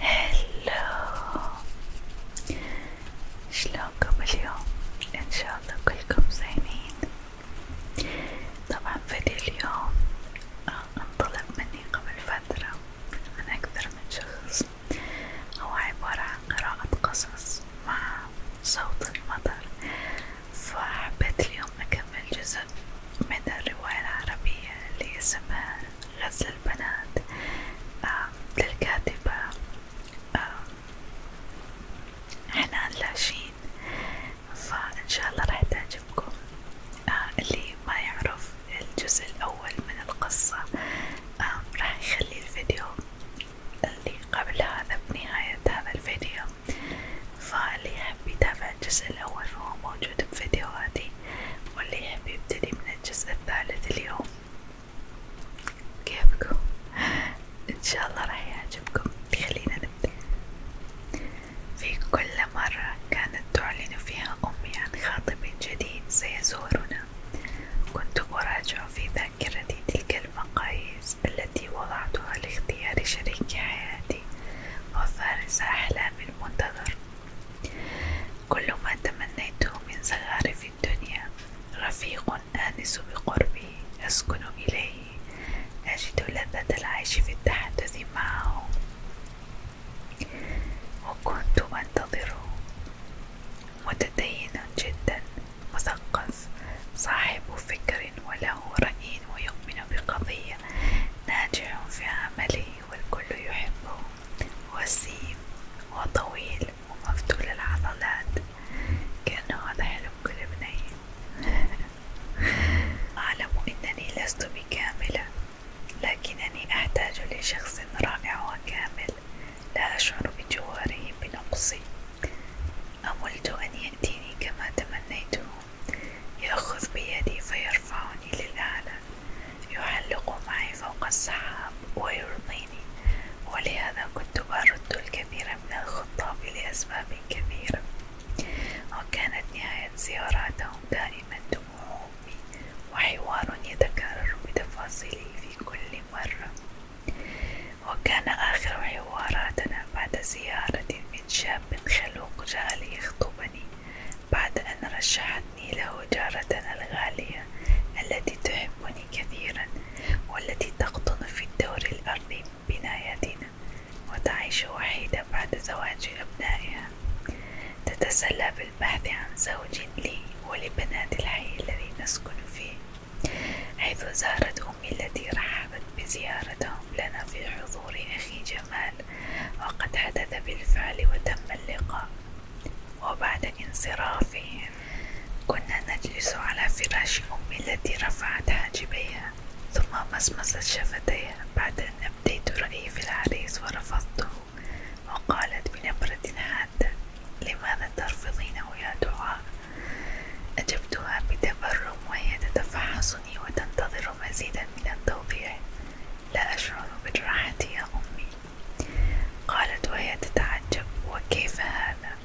هلو شلونكم اليوم؟ ان شاء الله كلكم زينين طبعا فيديو اليوم آه، انطلب مني قبل فترة عن اكثر من شخص هو عبارة عن قراءة قصص مع صوت المطر فحبيت اليوم اكمل جزء من الرواية العربية اللي اسمها غزل البنات آه للكاتبة آه حنان لاشين فإن شاء الله راح تعجبكم آه اللي ما يعرف الجزء الأول من القصة آه راح يخلي الفيديو اللي قبل هذا بنهاية هذا الفيديو فاللي يحب يتابع الجزء الأول فهو موجود بفيديوهاتي واللي يحب يبتدي من الجزء الثالث اليوم كيفكم؟ إن شاء الله راح يعجبكم خلينا نبدأ في كل مرة كانت تعلن فيها أمي عن خاطب جديد سيزورنا كنت أراجع في ذاكرتي تلك المقاييس التي وضعتها لاختيار شريك حياتي وفارس أحلامي المنتظر كل ما تمنيته من زخارف الدنيا رفيق آنس بقربي أسكن إليه أجد لذة العيش في التحدث معه وكنت أنتظره متدين جدا مثقف صاحب فكر وله رأي ويؤمن بقضية ناجح في عمله والكل يحبه وسيم وطويل ومفتول العضلات كان هذا حلم كل بنية أعلم أنني لست بكاملة لكنني أحتاج لشخص رائع وكامل لا أشعر بجواره بنقصي أملت أن يأتيني كما تمنيته يأخذ بيدي فيرفعني للأعلى يعلق معي فوق السحاب ويرضيني ولهذا كنت أرد الكثير من الخطاب لأسباب كثيرة وكانت نهاية زياراتهم دائما دموع أمي وحوار يتكرر بتفاصيله في كل مرة وكان آخر حواراتنا بعد زيارة من شاب خلوق جاء ليخطبني بعد أن رشحتني له جارتنا الغالية التي تحبني كثيرا والتي تقطن في الدور الأرضي بنايتنا وتعيش وحيدة بعد زواج أبنائها تتسلى بالبحث عن زوج لي ولبنات الحي الذي نسكن فيه حيث زارت أمي التي رحبت بزيارتهم لنا في حضور أخي جمال وقد حدث بالفعل وتم اللقاء وبعد انصرافهم كنا نجلس على فراش أمي التي رفعت حاجبيها ثم مسمست شفتيها بعد أن أبديت رأيي في العريس ورفضته وقالت بنبرة حادة لماذا ترفضينه يا دعاء أجبتها بتبرم وهي تتفحص تقصني وتنتظر مزيدا من التوضيح لا أشعر بالراحة يا أمي قالت وهي تتعجب وكيف هذا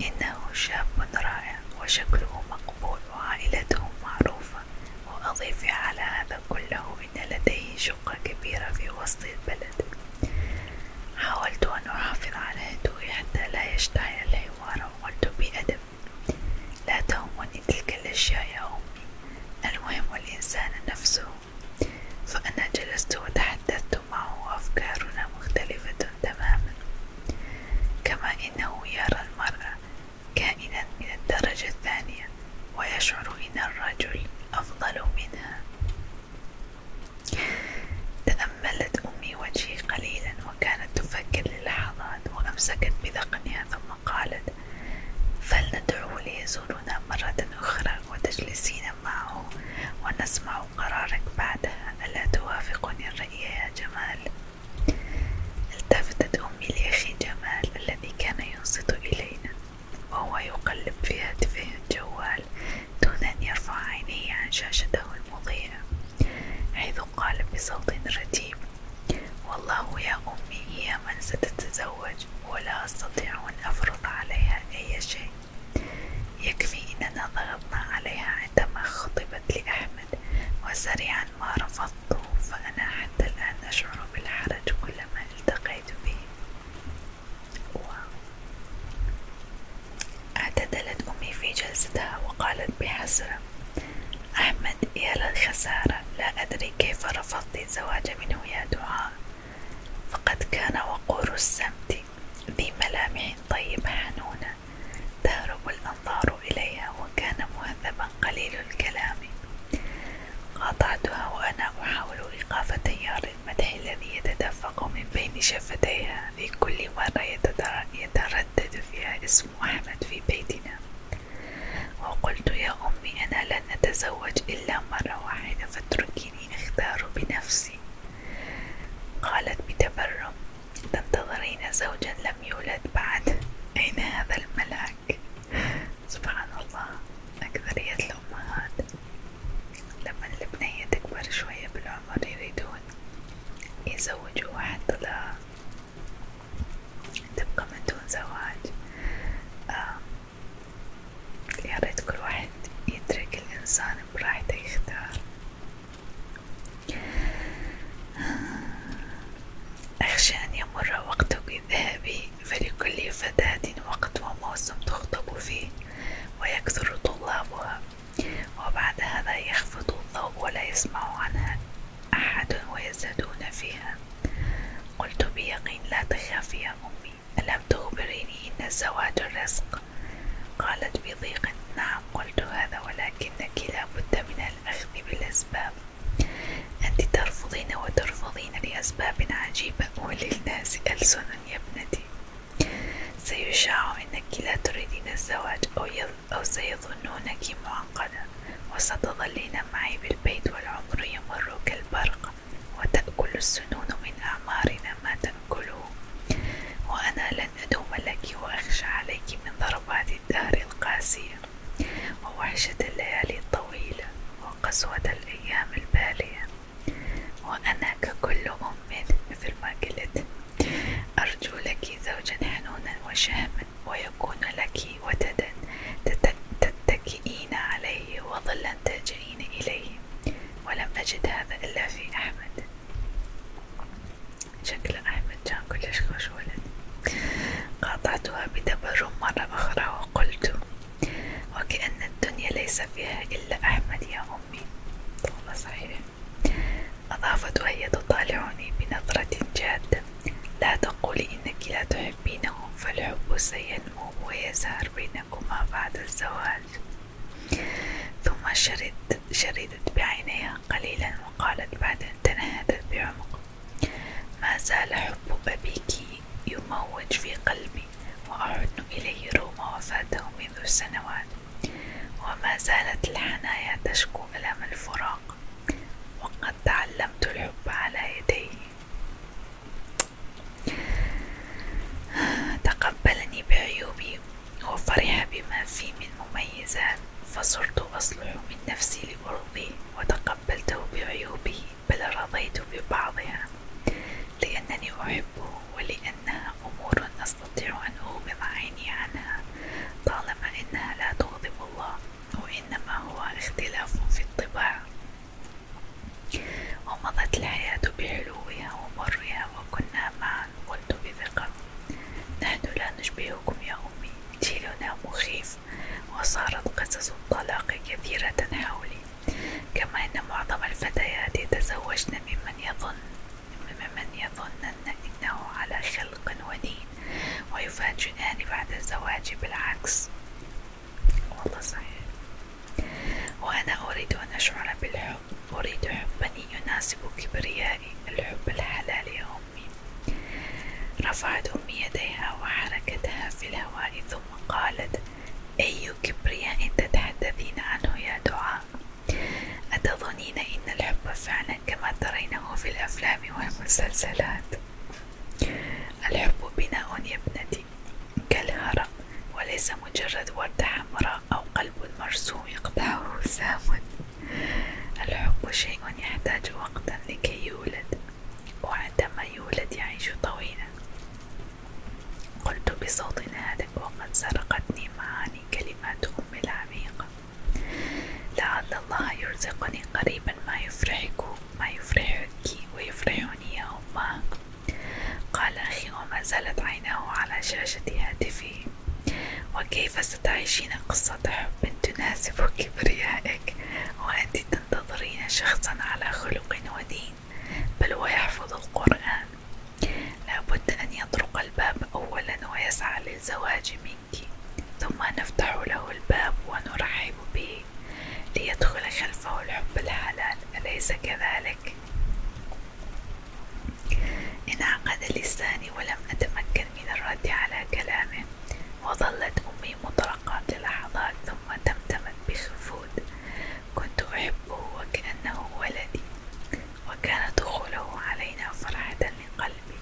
إنه شاب رائع وشكله مقبول وعائلته معروفة وأضيف على هذا كله إن لديه شقة كبيرة في وسط البلد حاولت أن أحافظ على هدوئي حتى لا يشتعل الحوار وقلت بأدب لا تهمني تلك الأشياء يا أمي المهم الإنسان نفسه فأنا جلست وتحدثت معه وأفكارنا مختلفة تماما كما إنه يرى المرأة كائنا من الدرجة الثانية ويشعر إن الرجل أفضل منها تأملت أمي وجهي قليلا وكانت تفكر للحظات وأمسكت بذقنها ثم قالت فلندعوه ليزورنا مرة أخرى وتجلسين معه ونسمع قرارك بعدها ألا توافقني الرأي يا جمال؟ التفتت أمي لأخي جمال الذي كان ينصت إلينا وهو يقلب في هاتفه الجوال دون أن يرفع عينيه عن شاشته المضيئة حيث قال بصوت رتيب والله يا أمي هي من ستتزوج ولا أستطيع أن أفرض عليها أي شيء يكفي أننا ضغطنا عليها عندما خطبت لأحمد وسريعا ما رفضته فأنا حتى الآن أشعر بالحرج كلما التقيت به اعتدلت أمي في جلستها وقالت بحسرة أحمد يا للخسارة لا أدري كيف رفضت الزواج منه يا دعاء فقد كان وقور السمت ذي ملامح طيبة حنونة تهرب الأنظار إليها وكان مهذبا قليل الكلام قاطعتها وأنا أحاول إيقاف تيار المدح الذي يتدفق من بين شفتيها في كل مرة يتردد فيها اسم أحمد في بيتنا وقلت يا أمي أنا لن أتزوج إلا مرة واحدة فاتركيني أختار بنفسي قالت بتبرم تنتظرين زوجا لم يولد بعد أين هذا الملاك سبحان الله أكثرية الأمهات لما البنية تكبر شوية بالعمر يريدون يزوجوا واحد تبقى من دون زواج يا ريت كل واحد يترك الإنسان براحته يختار أخشى أن يمر وقتك الذهبي فلكل فتاة وقت وموسم تخطب فيه ويكثر طلابها وبعد هذا يخفض الضوء ولا يسمع عنها أحد ويزدادون فيها قلت بيقين لا تخافي يا أمي ألم تخبريني إن الزواج الرزق قالت بضيق نعم قلت هذا ولكنك لا بد من الأخذ بالأسباب أنت ترفضين وترفضين لأسباب عجيبة وللناس ألسن يا ابنتي سيشاع أنك لا تريدين الزواج أو أو سيظنونك معقدة وستظلين معي بالبيت والعمر يمر كالبرق وتأكل السنون من أعمارنا ما تأكله وأنا لن أدوم لك وأخشى عليك من ضربات الدهر القاسية ووحشة الليالي الطويلة وقسوة الأيام البالية وأنا ككل أم مثل ما قلت أرجو لك زوجا حنونا وشهما ويكون لك وتدا تتكئين عليه وظلا تلجئين إليه ولم أجد هذا إلا في أحمد شكل أحمد كان كلش خوش قاطعتها بدبر مرة أخرى وقلت وكأن الدنيا ليس فيها إلا أحمد يا أمي والله صحيح أضافت وهي تطالعني بنظرة جادة لا تقولي إنك لا تحبينهم فالحب سينمو ويزهر بينكما بعد الزواج ثم شردت, شردت بعينيها قليلا وقالت بعد أن تنهدت بعمق ما حب أبيك يموج في قلبي وأحن إليه رغم وفاته منذ سنوات وما زالت الحنايا تشكو ألم الفراق وقد تعلمت الحب على يديه تقبلني بعيوبي وفرح بما في من مميزات فصرت أصلح من نفسي لأرضيه وتقبلته بعيوبه بل رضيت ببعضها لأنني أحبه ولأنها أمور أستطيع أن أغمض عيني عنها طالما أنها لا تغضب الله وإنما هو اختلاف في الطباع ومضت الحياة بحلوها ومرها وكنا معا قلت بثقة نحن لا نشبهكم يا أمي جيلنا مخيف وصارت قصص الطلاق كثيرة حولي كما أن معظم الفتيات يتزوجن ممن يظن وممن يظنن إنه على خلق ودين ويفاجئان بعد الزواج بالعكس والله صحيح وأنا أريد أن أشعر بالحب أريد حبا يناسب كبريائي الحب الحلال يا أمي رفعت أمي يديها وحركتها في الهواء ثم قالت أي كبرياء تتحدثين عنه يا دعاء أتظنين إن الحب فعلا عامة كما ترينه في الأفلام والمسلسلات الحب بناء يا ابنتي كالهرم وليس مجرد وردة حمراء أو قلب مرسوم يقطعه سام الحب شيء يحتاج وقتا لكي يولد وعندما يولد يعيش طويلا قلت بصوت هادئ وقد سرقتني معاني كلمات أمي العميقة لعل الله يرزقني قريبا ما يفرحك ما يفرحك ويفرحني يوما قال أخي وما زالت عيناه على شاشة هاتفه وكيف ستعيشين قصة حب تناسب كبريائك وأنت تنتظرين شخصا على خلق ودين بل ويحفظ القرآن لابد أن يطرق الباب أولا ويسعى للزواج منك ثم نفتح له الباب ونرحب به ليدخل خلفه الحب الحلال أليس كذلك؟ انعقد لساني ولم أتمكن من الرد على كلامه وظلت أمي مطرقة للحظات ثم تمتمت بخفوت كنت أحبه وكأنه ولدي وكان دخوله علينا فرحة لقلبي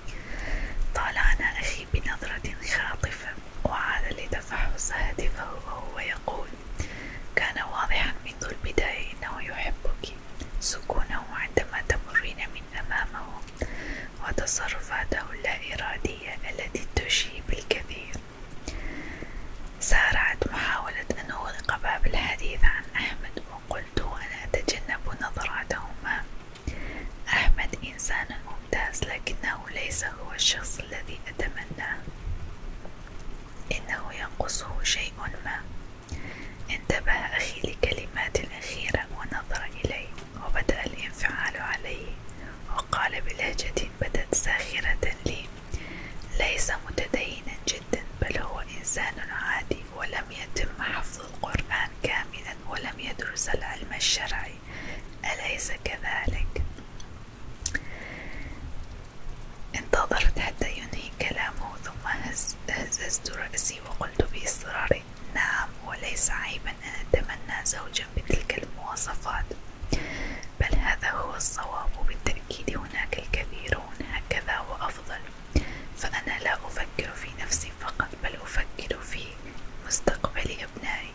طالعنا أخي بنظرة خاطفة وعاد لتفحص هاتفه وهو يقول كان واضحا منذ البداية أنه يحبك سكونه عندما تمرين من أمامه وتصرفاته اللا إرادية التي تشيب الكثير سارعت محاولة أن أغلق باب الحديث عن أحمد وقلت أنا أتجنب نظراتهما أحمد إنسان ممتاز لكنه ليس هو الشخص الذي أتمناه إنه ينقصه شيء ما انتبه أخي لكلمات الأخيرة ونظر إلي وبدأ الانفعال عليه وقال بلهجة بدت ساخرة لي ليس متدينا جدا بل هو إنسان عادي ولم يتم حفظ القرآن كاملا ولم يدرس العلم الشرعي أليس كذلك؟ انتظرت حتى ينهي كلامه ثم هز هززت رأسي وقلت بإصرار نعم وليس عيبا أن أتمنى زوجا بتلك المواصفات بل هذا هو الصواب بالتأكيد هناك الكثيرون هكذا وأفضل فأنا لا أفكر في نفسي فقط بل أفكر في مستقبل أبنائي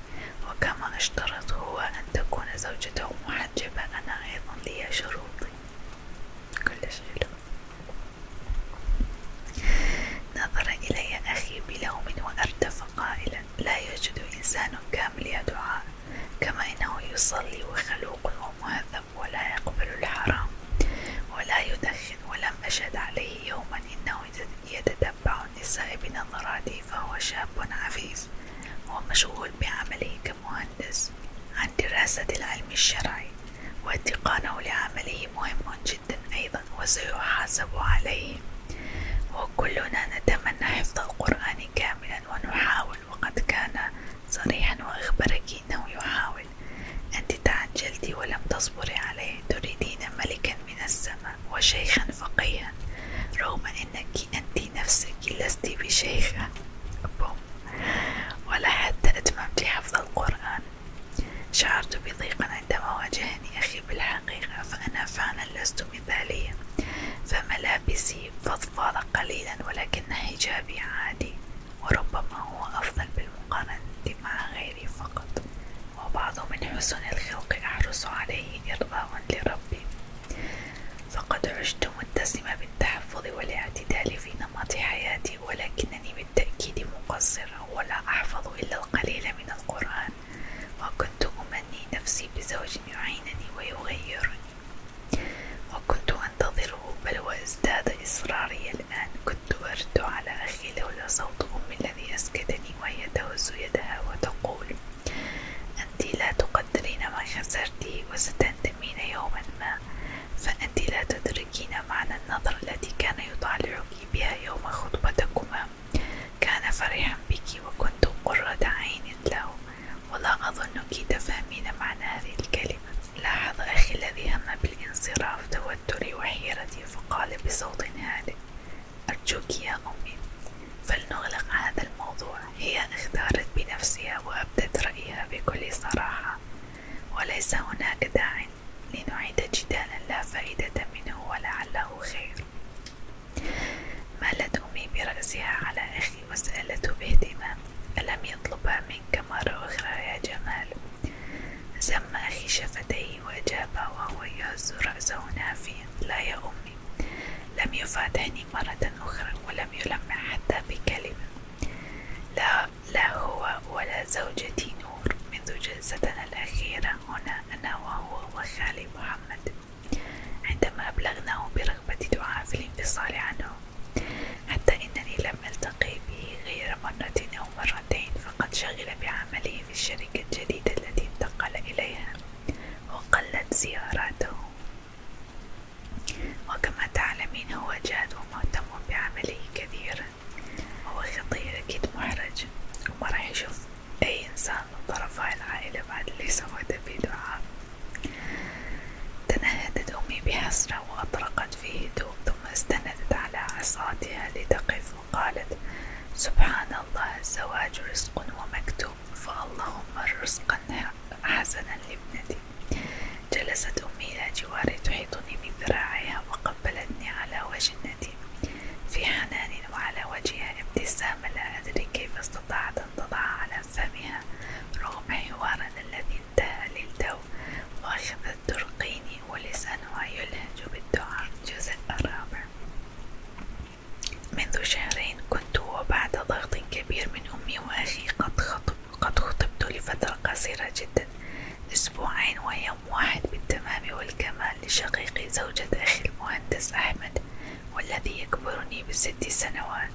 وكما اشترط هو أن تكون زوجته محجبة أنا أيضا لي شروطي كلش حلو نظر إلي أخي بلوم وأردف قائلا لا يوجد إنسان كامل يا دعاء كما إنه يصلي وخلوق ومهذب الكذب ولا يقبل الحرام ولا يدخن ولم أشهد عليه يوما إنه يتتبع النساء بنظراته فهو شاب عفيف ومشغول بعمله كمهندس عن دراسة العلم الشرعي واتقانه لعمله مهم جدا أيضا وسيحاسب عليه وكلنا نتمنى حفظ القرآن كاملا ونحاول وقد كان صريحا وأخبرك أنه يحاول أنت تعجلتِ ولم تصبري عليه تريدين ملكا من السماء وشيخا فقيها رغم أنك أنت نفسك لست بشيخة ولا حتى أتممت حفظ القرآن شعرت بضيق عندما واجهني أخي بالحقيقة فأنا فعلا لست مثالية فملابسي التي فضفاض قليلا ولكن حجابي عادي وربما هو أفضل بالمقارنة مع غيري فقط وبعض من حسن الخلق أحرص عليه إرضاء لربي فقد عشت متسمة بالتحفظ والاعتدال في نمط حياتي ولكنني بالتأكيد مقصرة ولا أحفظ إلا القليل من القرآن وكنت أمني نفسي بزوج يعينني ويغيرني وكنت أنتظره بل وازداد إصراري الآن كنت أرد على أخي لولا صوت أمي الذي أسكتني وهي تهز يدها وتقول أنت لا تقدرين ما خسرتي وستندمين يوما ما فأنت لا تدركين معنى النظرة التي كان يطالعك بها يوم خطبتكما كان فرحا بك وكنت قرة عين له ولا أظنك تفهمين معنى هذه الكلمة لاحظ أخي الذي هم بالانصراف توتري وحيرتي فقال بصوت هادئ أرجوك يا أمي فلنغلق هذا الموضوع هي اختارت بنفسها وأبدت رأيها بكل صراحة وليس هناك داع لنعيد جدالا لا فائدة منه ولعله خير مالت أمي برأسها على أخي باهتمام ألم يطلبها منك مرة أخرى يا جمال سم أخي شفتيه وأجاب وهو يهز رأسه نافيا لا يا أمي لم يفاتحني مرة أخرى ولم يلمح حتى بكلمة لا, لا هو ولا زوجتي نور منذ جلستنا الأخيرة هنا أنا وهو وخالي محمد عندما أبلغناه برغبة دعاء في الانفصال عنه حتى إنني لم ألتقي به غير مرة أو مرتين فقد شغل بعمله في الشركة الجديدة التي انتقل إليها وقلت زياراته وكما تعلمين هو جاد ومهتم بعمله كثيرا هو خطير أكيد محرج وما راح يشوف أي إنسان من طرفي العائلة بعد اللي سويته في دعاء تنهدت أمي بحسرة وأطرقت في هدوء ثم استندت على عصاتها لتقف وقالت سبحان الله الزواج رزق ومكتوب فاللهم رزقا حسنا لابنتي جلست أمي إلى جواري تحيطني من ذراعيها وقبلتني على وجه النديم في حنان وعلى وجهها ابتسامة لا أدري كيف استطاعت أن تضع على حسابها رغم حوارنا الذي انتهى للتو غشط الترقيني ولسانها يلهج بالدعاء الجزء الرابع منذ شهرين كنت وبعد ضغط كبير من أمي وأخي قد, خطب قد خطبت لفترة قصيرة جدا أسبوعين ويوم واحد بالتمام والكمال لشقيقي زوجة أخي المهندس أحمد والذي يكبرني بست سنوات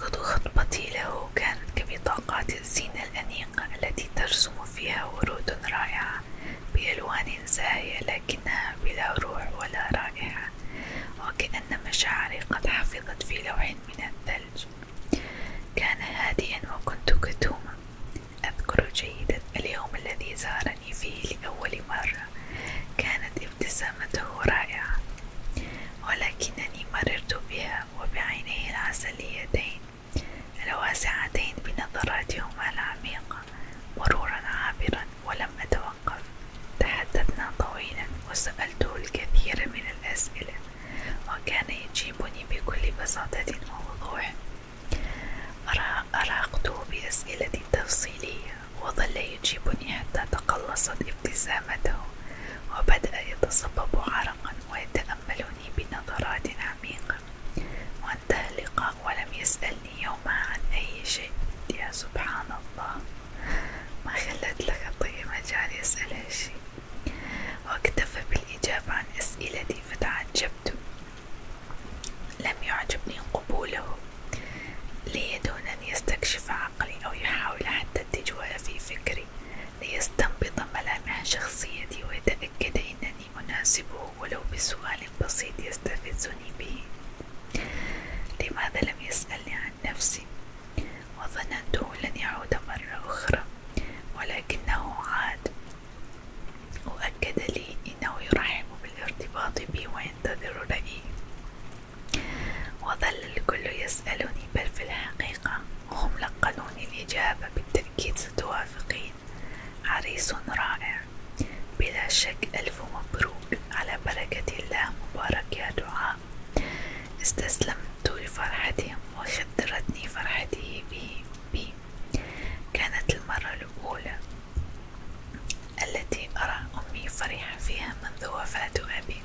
خطبتي له كانت كبطاقات الزينة الأنيقة التي ترسم فيها ورود رائعة بألوان زاهية لكنها بلا روح ولا رائحة وكأن مشاعري قد حفظت في لوح من الثلج كان هادئا وكنت كتوما أذكر جيدا اليوم الذي زارني فيه لأول مرة كانت ابتسامته رائعة ولكنني مررت بها وبعينيه العسليتين الواسعتين بنظراتهما العميقة مرورا عابرا ولم أتوقف تحدثنا طويلا وسألته الكثير من الأسئلة وكان يجيبني بكل بساطة ووضوح أرهقته بأسئلة تفصيلية وظل يجيبني حتى تقلصت ابتسامته وبدأ يتصبب عرقا ويتأملني بنظرات عميقة وانتهى اللقاء ولم يسألني يومها عن أي شيء يا سبحان الله ما خلت لك طيب مجال يسأل شيء واكتفى بالإجابة عن أسئلتي فتعجبت لم يعجبني قبوله لي دون أن يستكشف عقلي أو يحاول حتى التجوال في فكري ليستنبط ملامح شخصيتي ويتأكد أنني أناسبه ولو بسؤال بسيط يستفزني به لماذا لم يسألني عن نفسي وظننته لن يعود مرة أخرى ولكنه عاد وأكد لي أنه يرحب بالارتباط بي وينتظر رأيي وظل الكل يسألني بل في الحقيقة هم لقنوني الإجابة بالتأكيد ستوافقين عريس رائع بلا شك ألف مبروك على بركة الله مبارك يا دعاء استسلمت لفرحتهم وخدرتني فرحته به بي كانت المرة الأولى التي أرى أمي فرحة فيها منذ وفاة أبي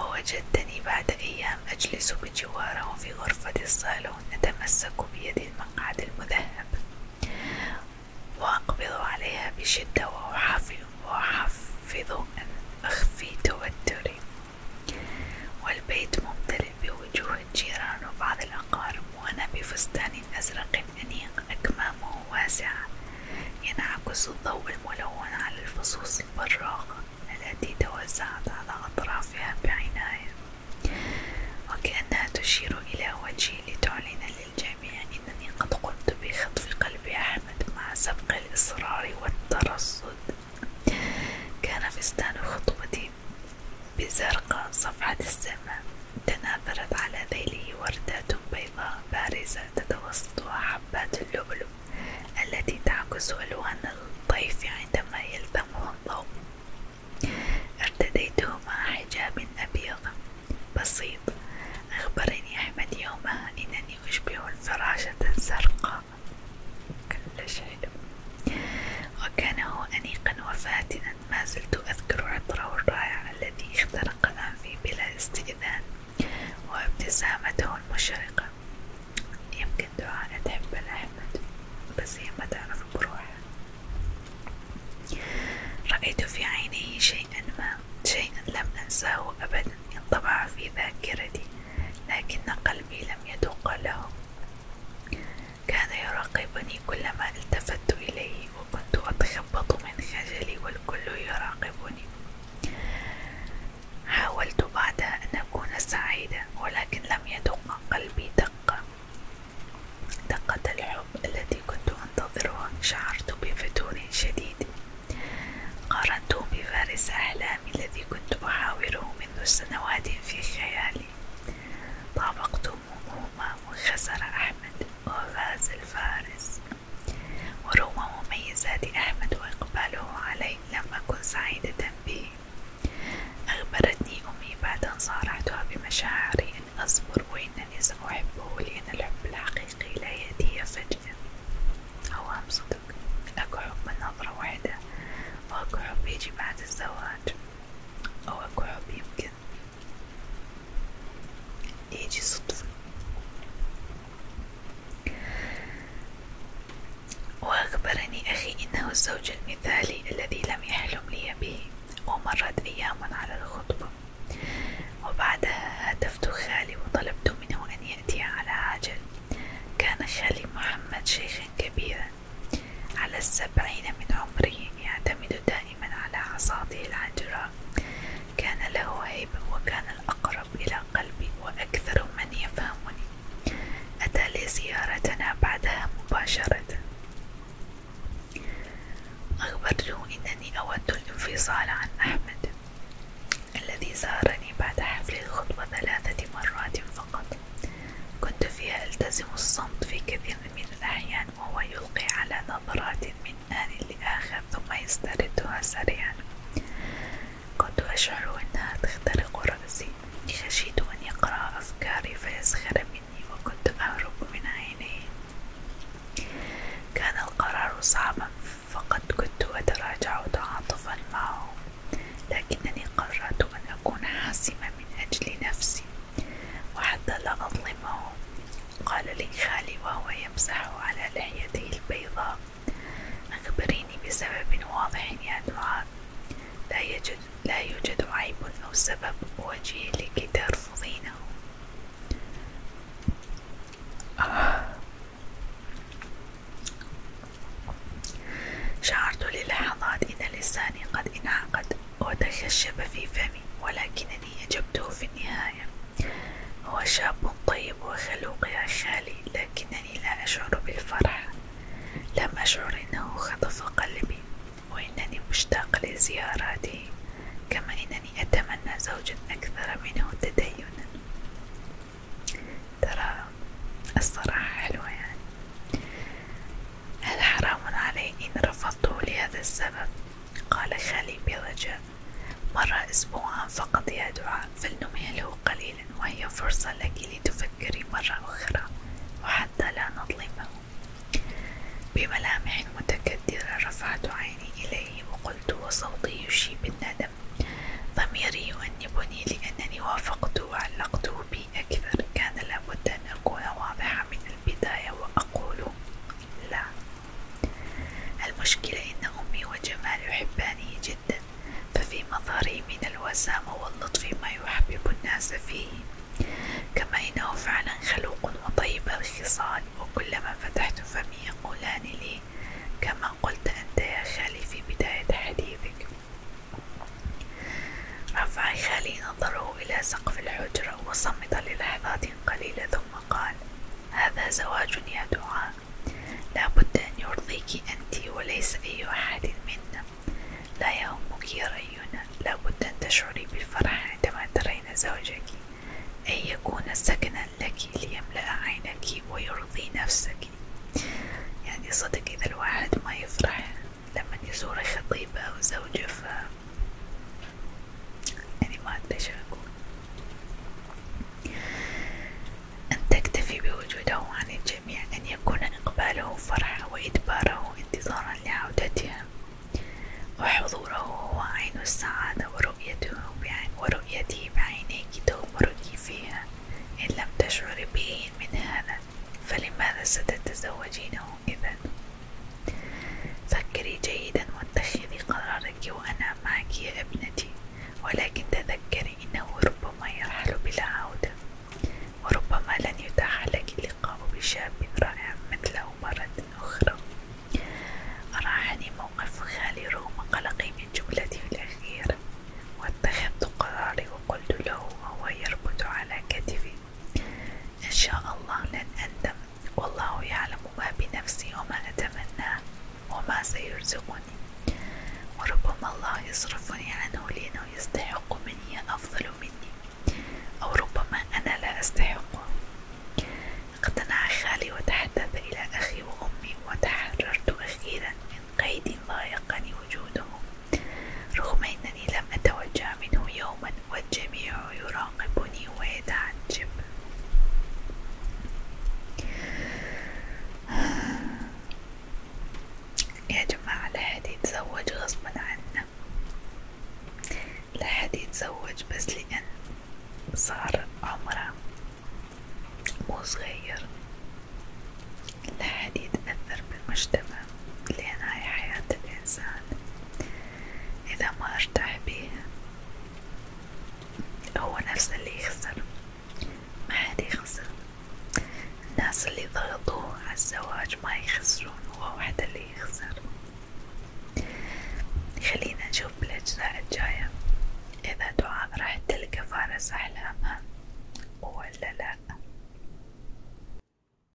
ووجدتني بعد أيام أجلس بجواره في غرفة الصالون أتمسك بيد المقعد المذهب وأقبض عليها بشدة وأحفظ أن أخفي توتري والبيت ممتلئ بوجوه الجيران وبعض الأقارب وأنا بفستان أزرق طريق أنيق أكمامه واسعة ينعكس الضوء الملون على الفصوص البراقة التي توزعت على أطرافها بعناية وكأنها تشير إلى وجهي لتعلن للجميع أنني قد قمت بخطف قلب أحمد مع سبق الإصرار والترصد كان فستان خطبتي بزرقاء صفحة السماء تناثرت على ذيله وردات بيضاء بارزة تتوسط حبات اللؤلؤ التي تعكس ألوان الطيف عندما يلزمها الضوء ارتديته مع حجاب أبيض بسيط أخبرني أحمد يومها أنني أشبه الفراشة الزرقاء كل شيء وكان هو أنيقا وفاتنا ما زلت أذكر عطره الرائع الذي اخترق أنفي بلا استئذان وابتسامته المشرقة يمكن دعاء تحب لأحمد بس هي ما تعرف بروحها رأيت في عينيه شيئا ما شيئا لم أنساه أبدا انطبع في ذاكرتي لكن قلبي لم يذوق له كان يراقبني كلما التفت إليه وكنت أضحك أتشبط من خجلي والكل يراقبني حاولت بعدها أن أكون سعيدة ولكن لم يدق قلبي دقة دقة الحب التي كنت أنتظرها شعرت بفتور شديد قارنته بفارس أحلامي الذي كنت أحاوره منذ سنوات في خيالي طابقت همومه وخسر أحمد وفاز الفارس ورغم مميزات أحمد وإقباله علي لم أكن سعيدة به، أخبرتني أمي بعد أن صارحتها بمشاعري أن أصبر وإنني سأحبه لأن الحب الحقيقي لا يأتي فجأة، هو هم صدق، أكو حب من نظرة واحدة، وأكو حب يجي بعد الزواج، أو أكو حب يمكن ايه صدفة وأخبرني أخي إنه الزوج المثالي الذي لم يحلم لي به ومرت أيام على الخطبة وبعدها هاتفت خالي وطلبت منه أن يأتي على عجل كان خالي محمد شيخا كبيرا على السبعين من عمره يعتمد دائما دائما على عصاته العاجرة كان له هيبة وكان الأقرب إلى قلبي وأكثر من يفهمني أتى لزيارتنا بعدها مباشرة أخبرته أنني أود الانفصال عن أحمد الذي زارني بعد حفل الخطبة ثلاثة مرات فقط كنت فيها ألتزم الصمت في كثير من الأحيان وهو يلقي على نظرات من آني لآخر ثم يستردها سريعا كنت أشعر أنها تخترق رأسي خشيت أن يقرأ أفكاري فيسخر مني وكنت أهرب من عينيه كان القرار صعبا فقد كنت أتراجع تعاطفا معه لكنني قررت أن أكون حاسمة من أجل نفسي وحتى لا أظلمه قال لي خالي وهو يمسح على لحيته البيضاء أخبريني بسبب واضح يا دعاء لا يوجد, لا يوجد عيب أو سبب وجيه لكي ترفضينه شعرت للحظات إن لساني قد انعقد وتخشب في فمي ولكنني أجبته في النهاية هو شاب طيب وخلوق يا خالي لكنني لا أشعر بالفرح لم أشعر أنه خطف قلبي وإنني مشتاق لزياراته كما إنني أتمنى زوجا أكثر منه تدينا ترى الصراحة حلوة يعني هل حرام علي إن رفضته لهذا السبب قال خالي برجاء مرة أسبوعا فقط يا دعاء فلنمهله قليلا وهي فرصة لك لتفكري مرة أخرى وحتى لا نظلمه بملامح متكدرة رفعت عيني إليه وقلت وصوتي يشيب الندم ضميري يؤنبني لأنني وافقته وعلقته بي أكثر كان لابد أن أكون واضحة من البداية وأقول لا المشكلة إن أمي وجمال يحباني جدا ففي مظهري من الوسامة واللطف ما يحبب الناس فيه كما إنه فعلا خلوق وطيب الخصال وكلما فتحت فمي يقولان لي كما قلت أنت يا خالي في بداية حديثك رفع خالي نظره إلى سقف الحجرة وصمت للحظات قليلة ثم قال هذا زواج يا دعاء لابد أن يرضيك أنت وليس أي أحد منا لا يهمك رأينا لابد أن تشعري بالفرح عندما ترين زوجك أن يكون سكنا لك ليملأ عينك ويرضي نفسك يعني صدق إذا الواحد ما يفرح لما يزور خطيبة أو زوجة ف يعني ما أدري شو أقول أن تكتفي بوجوده عن الجميع أن يكون إقباله فرحة وإدباره انتظارا لعودتها وحضوره هو عين السعادة ورؤيته بعين ورؤيته بعينيك تغمرك فيها إن لم تشعري به من هذا فلماذا ستتزوجينه إذا؟ فكري جيدا واتخذي قرارك وأنا معك يا ابنتي ولكن تذكري إنه ربما يرحل بلا عودة وربما لن يتاح لك اللقاء بشاب رائع مثله مرة أخرى أراحني موقف خالي رغم قلقي من جملتي الأخيرة واتخذت قراري وقلت له وهو يربط على كتفي إن شاء الله لن أندم والله يعلم ما بنفسي وما أتمناه وما سيرزقني وربما الله يصرفني عنه لأنه يستحق مني أفضل مني أو ربما أنا لا أستحقه اقتنع خالي وتحدث إلى أخي وأمي وتحررت أخيرا من قيد ضايقني وجوده رغم أن أنني لم أتوجع منه يوما والجميع يراقبني ويتعجب يا جماعة لا حد يتزوج غصبا عنا لا حد يتزوج بس لأن صار عمره مو صغير لا حد يتأثر بالمجتمع لأن هاي حياة الإنسان إذا ما ارتاح بيه هو نفسه اللي يخسر ما حد يخسر الناس اللي ضغطوه على الزواج ما يخسرون هو وحده اللي يخسر خلينا نشوف بالأجزاء الجاية إذا دعاء راح تلقى فارس أحلامها ولا لأ